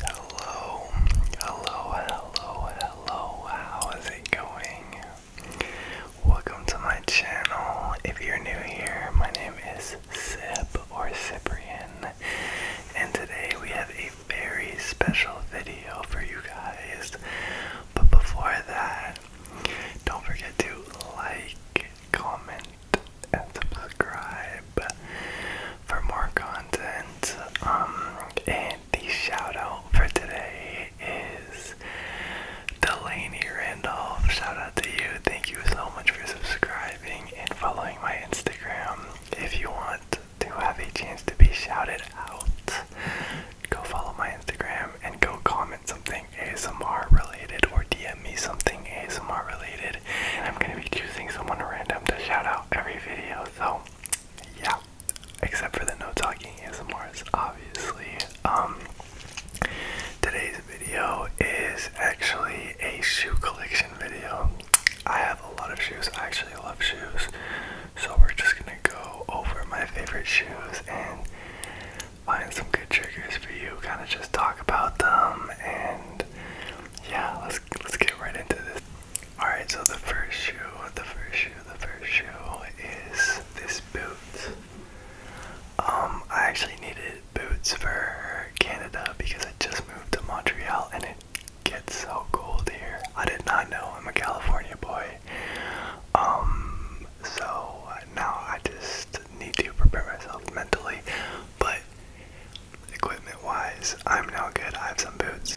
Hello, hello, hello, hello, how is it going? Welcome to my channel. If you're new here, my name is Sip or Cyprian, and today we have a very special video for you guys. But before that, don't forget to like, comment, and subscribe for more content. Um, and the shout for today is Delaney Randolph. Shout to you. Thank you so much for subscribing and following my Instagram. If you want to have a chance to be shouted out, go follow my Instagram and go comment something ASMR related or DM me something ASMR related and I'm gonna be choosing someone random to shout out every video, so yeah. Except for the no talking ASMRs, obviously. Um today's video is actually a shoe collection video. I have a lot of shoes. I actually love shoes. So we're just gonna go over my favorite shoes and find some good triggers for you. Kind of just talk about them and yeah, let's let's get right into this. Alright, so the first shoe, the first shoe, the first shoe is this boot. Um, I actually needed boots for Canada because I just moved to Montreal and it gets so cold here. I did not know I'm a California boy. Um, so now I just need to prepare myself mentally. But Equipment wise, I'm now good. I have some boots.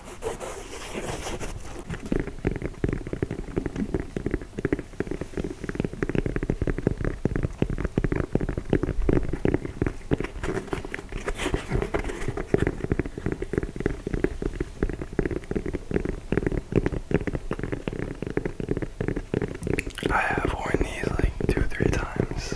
I have worn these like two or three times.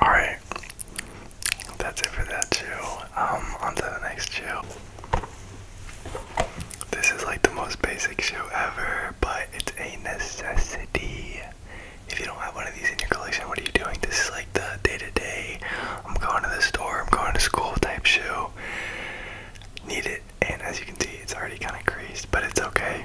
All right, that's it for that chew. Um, on to the next chew. This is like the most basic shoe ever, but it's a necessity. If you don't have one of these in your collection, what are you doing? This is like the day to day, I'm going to the store, I'm going to school type shoe. Need it, and as you can see, it's already kind of creased, but it's okay.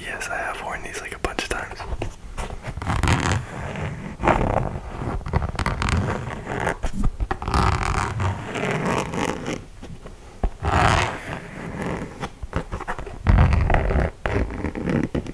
Yes, I have worn these like a bunch of times.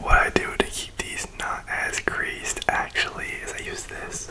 What I do to keep these not as greased actually is I use this.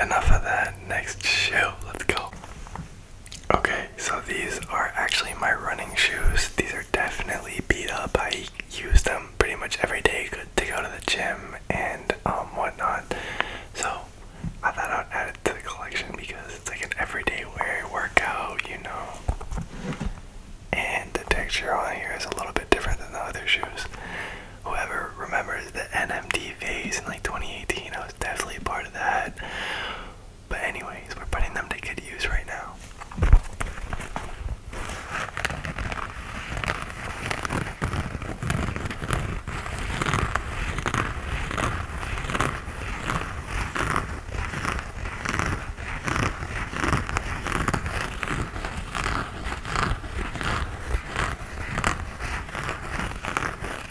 enough of that. Next shoe, let's go. Okay, so these are actually my running shoes. These are definitely beat up. I use them pretty much every day to go to the gym and um, whatnot. So I thought I'd add it to the collection because it's like an everyday wear workout, you know. And the texture on here is a little bit different than the other shoes. Whoever remembers the NMD phase in like 2018, definitely a part of that. But anyways, we're putting them to good use right now.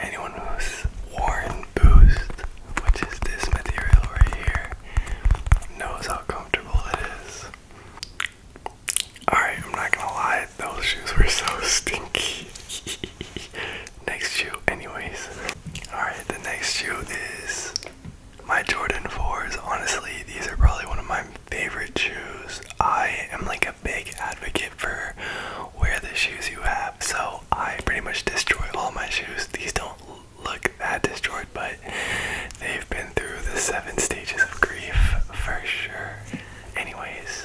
Anyone who's worn Boost, which is this material right here, knows how comfortable it is. Alright, I'm not gonna lie, those shoes were so stinky. next shoe anyways. Alright, the next shoe is my Jordan 4s. Honestly, these are probably one of my favorite shoes. I am like a big advocate for wear the shoes you have. So I pretty much destroy all my shoes. These don't look that destroyed, but they've been through the seven stages of grief for sure. Anyways.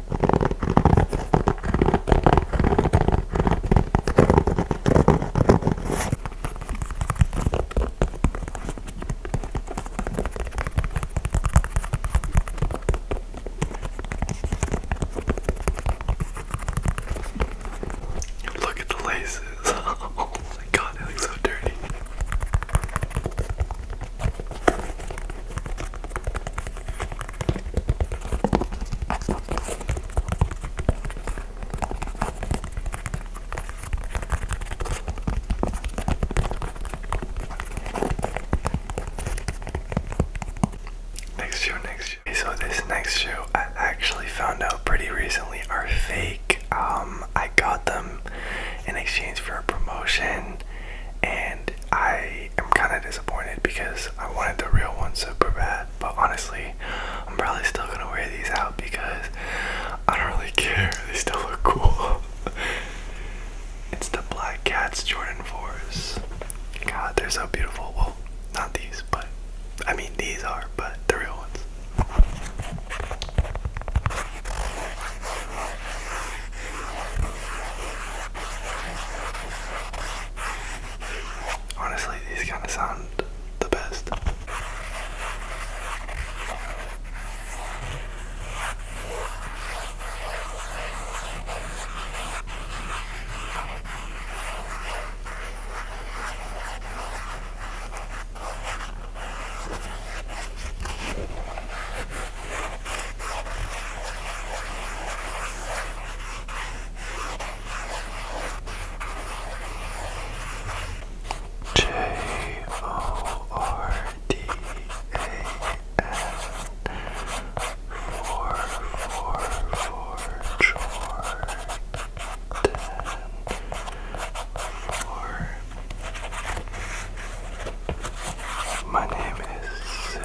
Look at the laces. oh my god, they look so dirty. Next shoe, next shoe. so this next shoe I actually found out pretty recently are fake. Um, I got them in exchange for a promotion, and I I am kind of disappointed because I wanted the real ones super bad. But honestly, I'm probably still gonna wear these out because I don't really care. They still look cool. it's the Black Cats Jordan 4s. God, they're so beautiful. Well, not these, but I mean, these are, but the real ones. Honestly, these kind of sound the best. J O R D A N four four four Jordan 444 my name is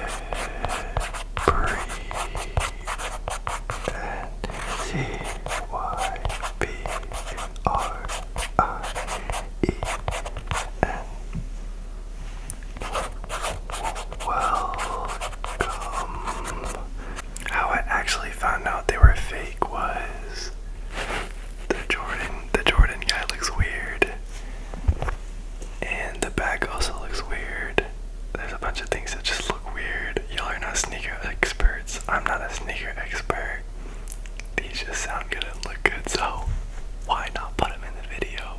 uh, and C Y B R I E N. Welcome. How I actually found out they were fake was the Jordan. The Jordan guy looks weird. And the bag also looks weird. There's a bunch of things that just look weird. Y'all are not sneaker experts. I'm not a sneaker expert. These just sound good and look good, so why not put them in the video?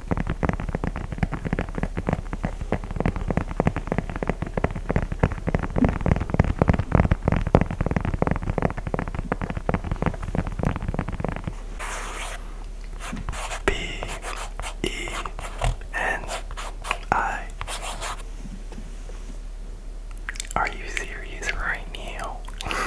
B E N I Are you serious right now?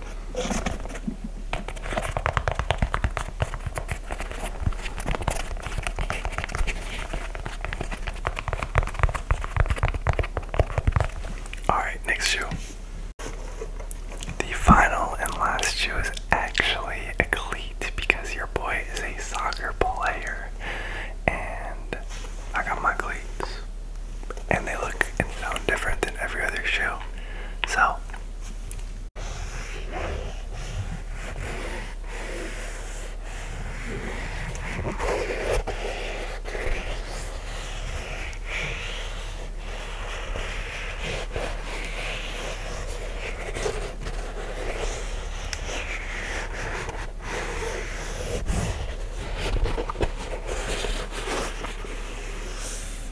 all right, next shoe. The final and last shoe is actually a cleat because your boy is a soccer player, and I got my cleats and they look and sound different than every other shoe. So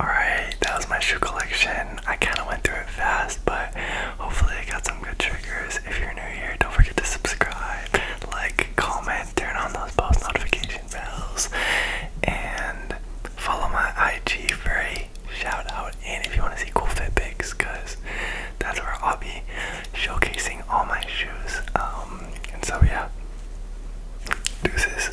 Alright, that was my shoe collection. I kind of went through it fast, but hopefully I got some good triggers. If you're new here, don't forget to subscribe, like, comment, turn on those post notification bells, and follow my IG for a shout out. And if you want to see cool fit pics, because that's where I'll be showcasing all my shoes. Um, and so yeah, deuces.